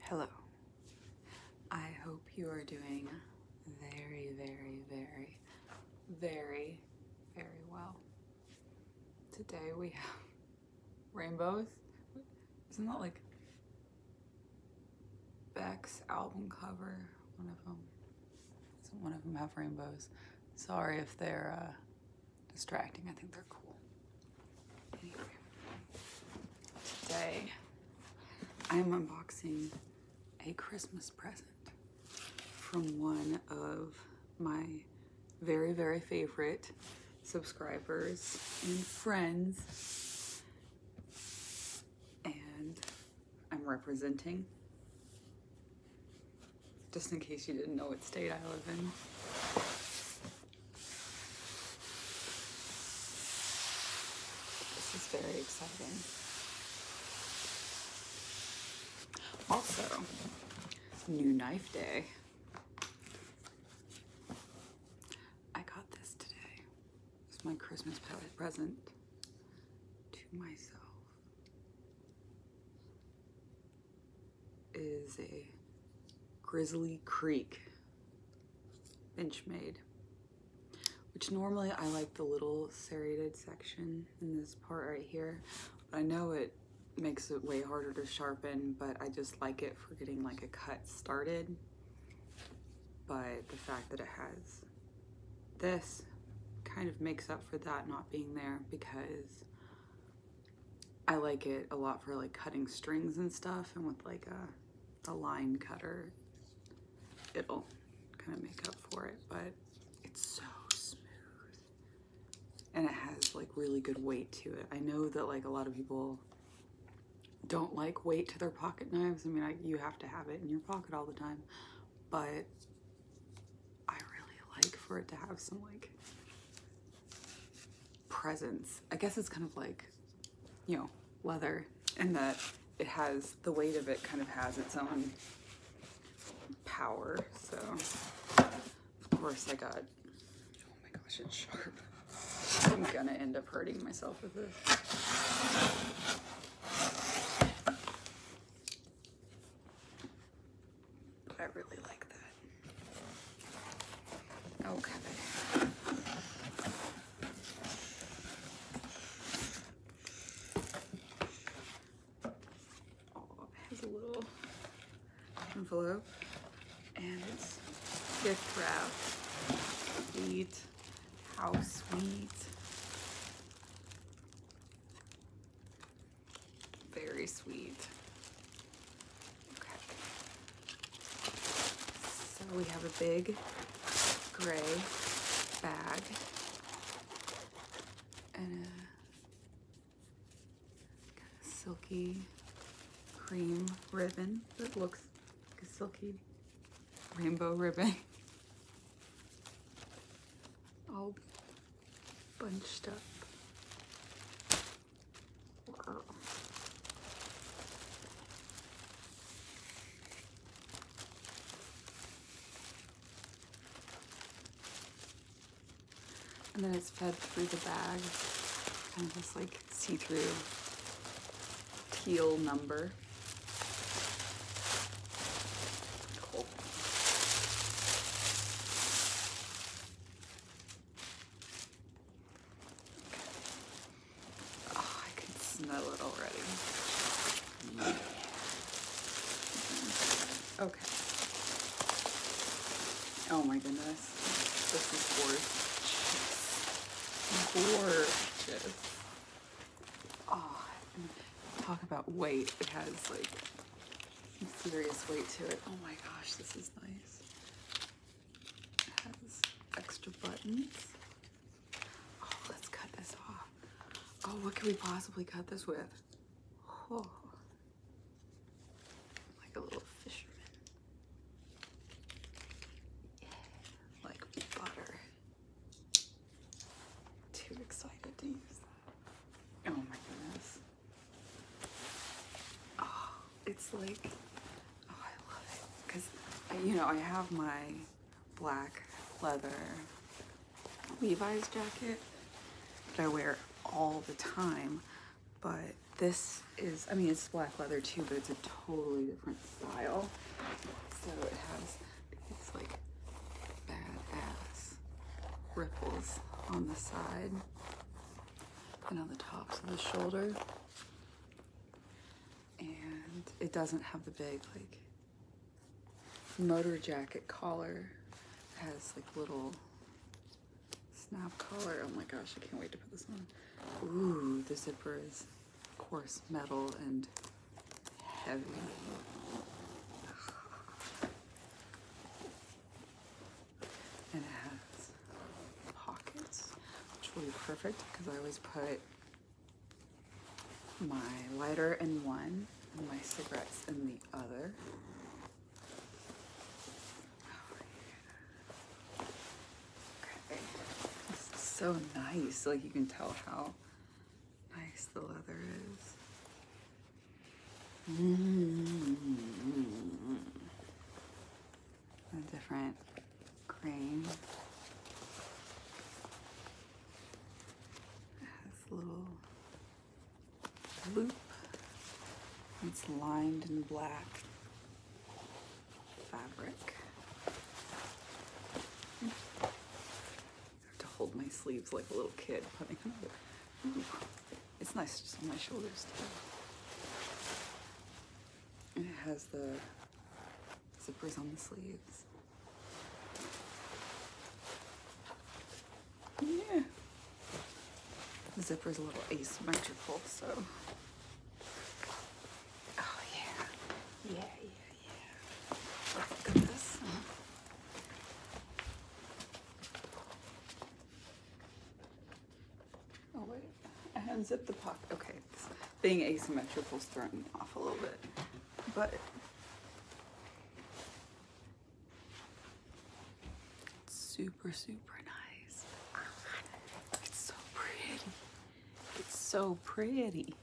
Hello. I hope you are doing very, very, very, very, very well. Today we have rainbows. Isn't that like Beck's album cover? One of them. Doesn't one of them have rainbows? Sorry if they're uh, distracting. I think they're cool today I'm unboxing a Christmas present from one of my very, very favorite subscribers and friends. And I'm representing, just in case you didn't know what state I live in. This is very exciting. Also, new knife day. I got this today. It's my Christmas present to myself is a Grizzly Creek bench made, which normally I like the little serrated section in this part right here. But I know it makes it way harder to sharpen, but I just like it for getting like a cut started. But the fact that it has this kind of makes up for that not being there because I like it a lot for like cutting strings and stuff and with like a, a line cutter, it'll kind of make up for it, but it's so smooth. And it has like really good weight to it. I know that like a lot of people don't like weight to their pocket knives. I mean, I, you have to have it in your pocket all the time, but I really like for it to have some like presence. I guess it's kind of like, you know, leather and that it has, the weight of it kind of has its own power. So, of course I got, oh my gosh, it's sharp. I'm gonna end up hurting myself with this. I really like that. Okay. Oh, has a little envelope and it's gift wrap. Sweet. How sweet. Very sweet. So we have a big gray bag and a silky cream ribbon that looks like a silky rainbow ribbon. All bunched up. And then it's fed through the bag, kind of this like see-through teal number. Oh, I can smell it already. Okay. Oh my goodness. This is gorgeous. Gorgeous. Oh, talk about weight. It has like serious weight to it. Oh my gosh, this is nice has extra buttons. Oh, let's cut this off. Oh, what can we possibly cut this with? Oh, like a little fisherman. Yeah, like butter. Too excited to use Oh my goodness. Oh, it's like, oh, I love it. Because, uh, you know, I have my black leather Levi's jacket that I wear all the time. But this is, I mean, it's black leather too, but it's a totally different style. So it has these like badass ripples on the side and on the tops of the shoulder. And it doesn't have the big like motor jacket collar. has like little snap collar. Oh my gosh, I can't wait to put this on. Ooh, the zipper is coarse metal and heavy and it has pockets, which will be perfect because I always put my lighter in one and my cigarettes in the other. Oh, okay. This so nice like you can tell how nice the leather is Mm. A different grain. This little loop. It's lined in black fabric. I have to hold my sleeves like a little kid putting them. It's nice just on my shoulders too. it has the zippers on the sleeves. Yeah. The zipper is a little asymmetrical, so. Oh yeah. Yeah, yeah, yeah. look at this. Oh, wait. I unzipped the pocket. Okay, being asymmetrical is throwing me off a little bit. But it's super, super nice. It's so pretty. It's so pretty.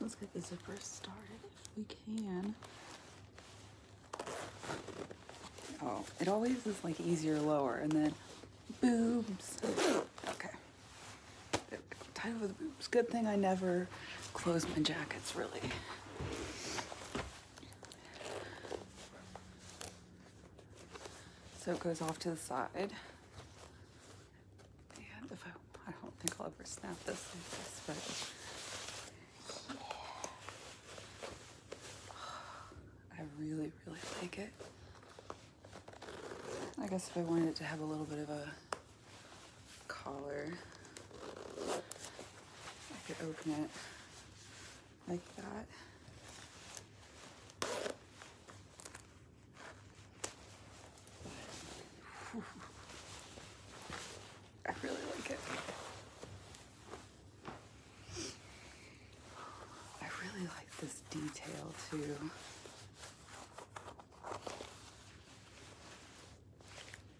Let's get the zipper started if we can. Oh, it always is like easier lower and then boobs. Okay. There we go. Tied over boobs. Good thing I never close my jackets really. So it goes off to the side. I, don't think I'll ever snap this but I really, really like it. I guess if I wanted it to have a little bit of a collar, I could open it like that. I really like it. I really like this detail too.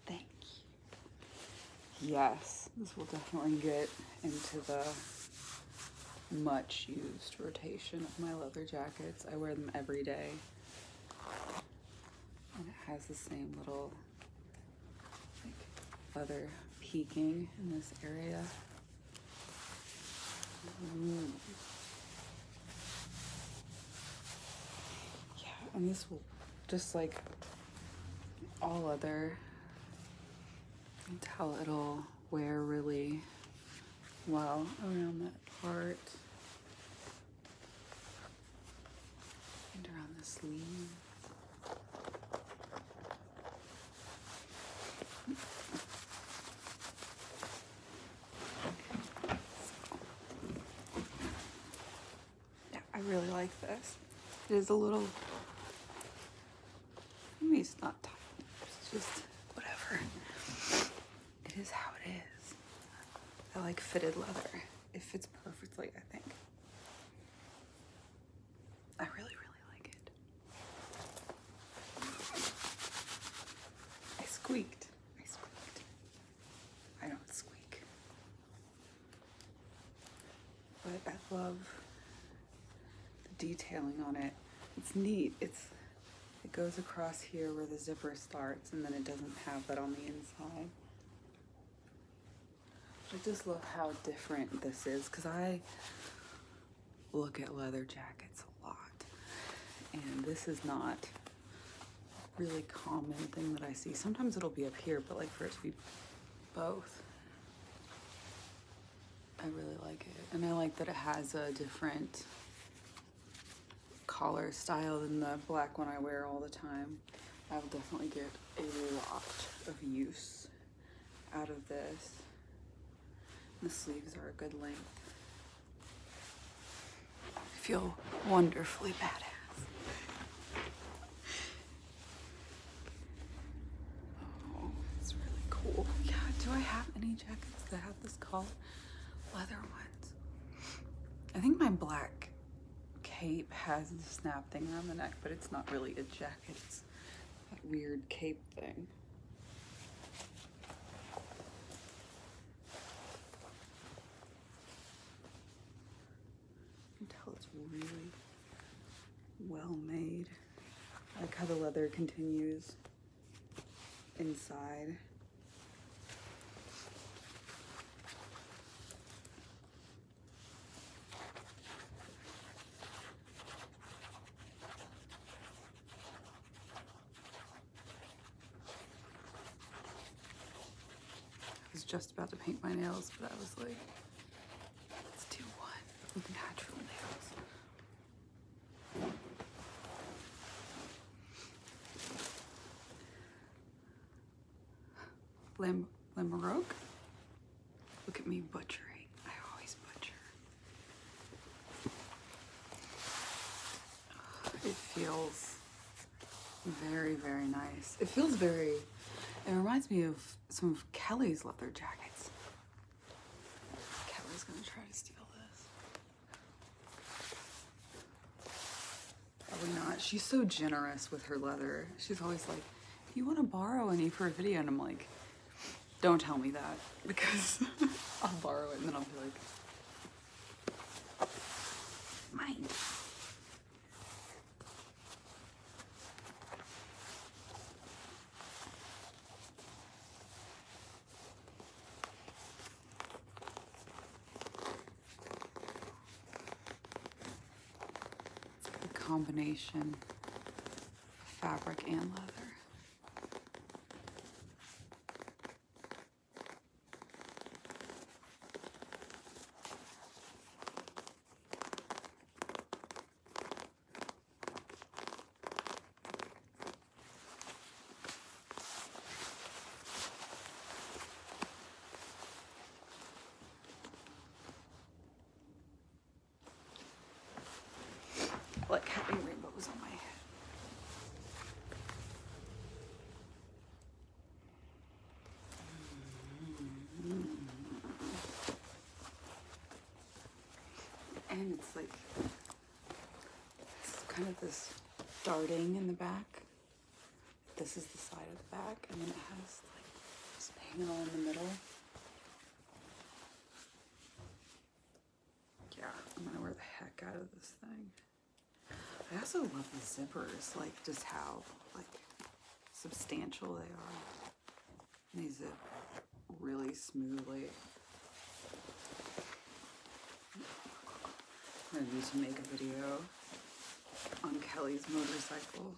Thank you. Yes, this will definitely get into the much used rotation of my leather jackets. I wear them every day. And it has the same little like, feather peaking in this area. Mm. Yeah, and this will just like all other tell it'll wear really well around that part and around the sleeve. Yeah, I really like this. It is a little, I mean, it's not tight, it's just whatever. It is how it is. I like fitted leather. It fits perfectly, I think. I really, really like it. I squeaked. I squeaked. I don't squeak. But I love the detailing on it. It's neat. It's it goes across here where the zipper starts and then it doesn't have that on the inside. I just love how different this is because I look at leather jackets a lot and this is not really common thing that I see. Sometimes it'll be up here, but like for it to be both. I really like it. And I like that it has a different collar style than the black one I wear all the time. I will definitely get a lot of use out of this. The sleeves are a good length. feel wonderfully badass. Oh, it's really cool. Yeah, do I have any jackets that have this collar? Leather one. I think my black cape has the snap thing around the neck, but it's not really a jacket. It's that weird cape thing. You can tell it's really well made. like how the leather continues inside. I was just about to paint my nails, but I was like, let's do one with natural nails. Lam Lamarok? Look at me butchering. I always butcher. It feels very, very nice. It feels very, it reminds me of some of Kelly's leather jackets. Kelly's gonna try to steal this. Probably not. She's so generous with her leather. She's always like, you want to borrow any for a video? And I'm like, don't tell me that because I'll borrow it and then I'll be like, mine a combination of fabric and leather like having rainbows on my head. And it's like it's kind of this darting in the back. This is the side of the back, and then it has like this panel in the middle. Yeah, I'm gonna wear the heck out of this thing. I also love the zippers, like just how like substantial they are. These zip really smoothly. I need to make a video on Kelly's motorcycle.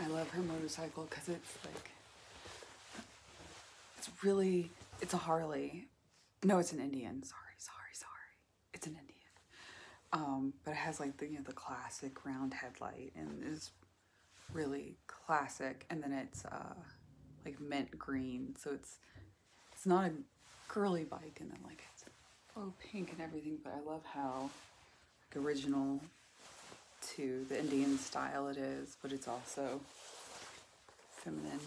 I love her motorcycle because it's like, it's really, it's a Harley. No, it's an Indian. Sorry, sorry, sorry it's an Indian. Um, but it has like the, you know, the classic round headlight and is really classic. And then it's uh, like mint green. So it's, it's not a girly bike and then like it's oh pink and everything. But I love how like, original to the Indian style it is, but it's also feminine.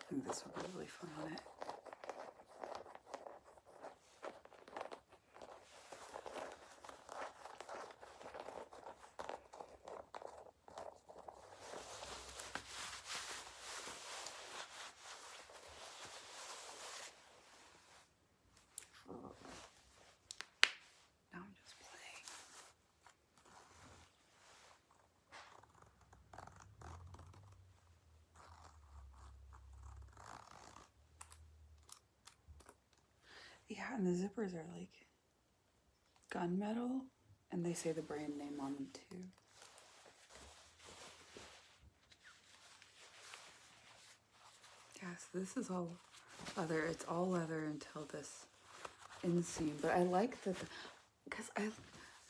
I think this would be really fun on it. Now I'm just playing. Yeah, and the zippers are like gunmetal, and they say the brand name on them too. Yes, this is all leather. It's all leather until this inseam, but I like that because I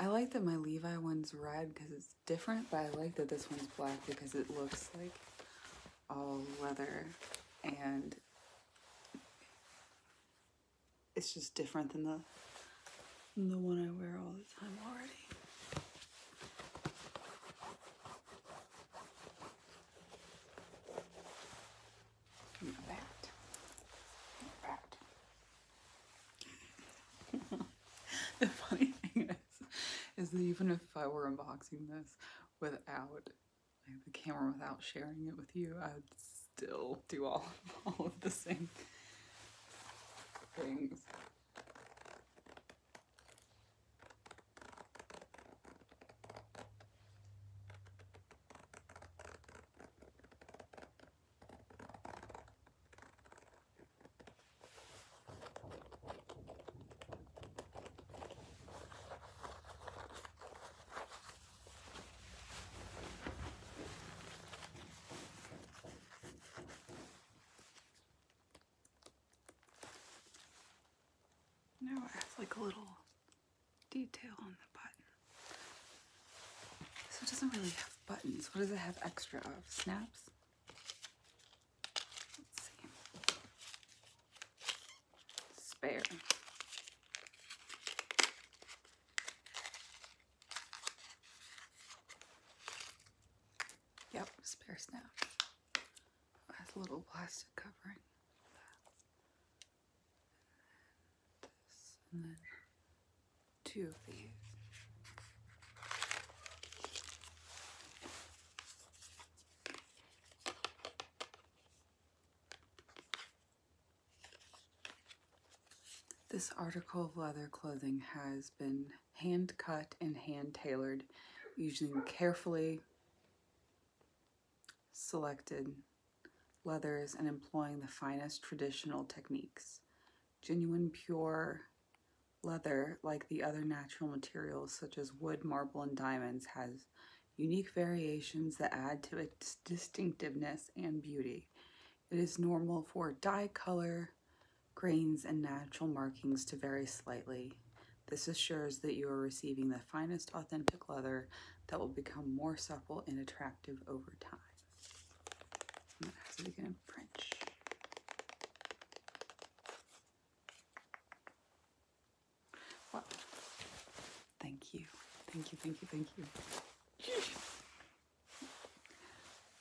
I like that my Levi one's red because it's different, but I like that this one's black because it looks like all leather and it's just different than the than the one I wear all the time already. the funny thing is, is that even if I were unboxing this without the camera, without sharing it with you, I would still do all, all of the same things. Now it like a little detail on the button. So it doesn't really have buttons. What does it have extra of? Snaps? Let's see. Spare. Yep, spare snap. That's a little plastic covering this, two of these. This article of leather clothing has been hand cut and hand tailored using carefully selected leathers and employing the finest traditional techniques. Genuine pure leather, like the other natural materials such as wood, marble, and diamonds, has unique variations that add to its distinctiveness and beauty. It is normal for dye color, grains, and natural markings to vary slightly. This assures that you are receiving the finest authentic leather that will become more supple and attractive over time. And that has it again French. Well, thank you. Thank you, thank you, thank you.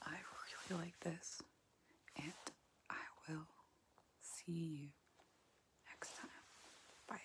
I really like this, and I will see you next time. Bye.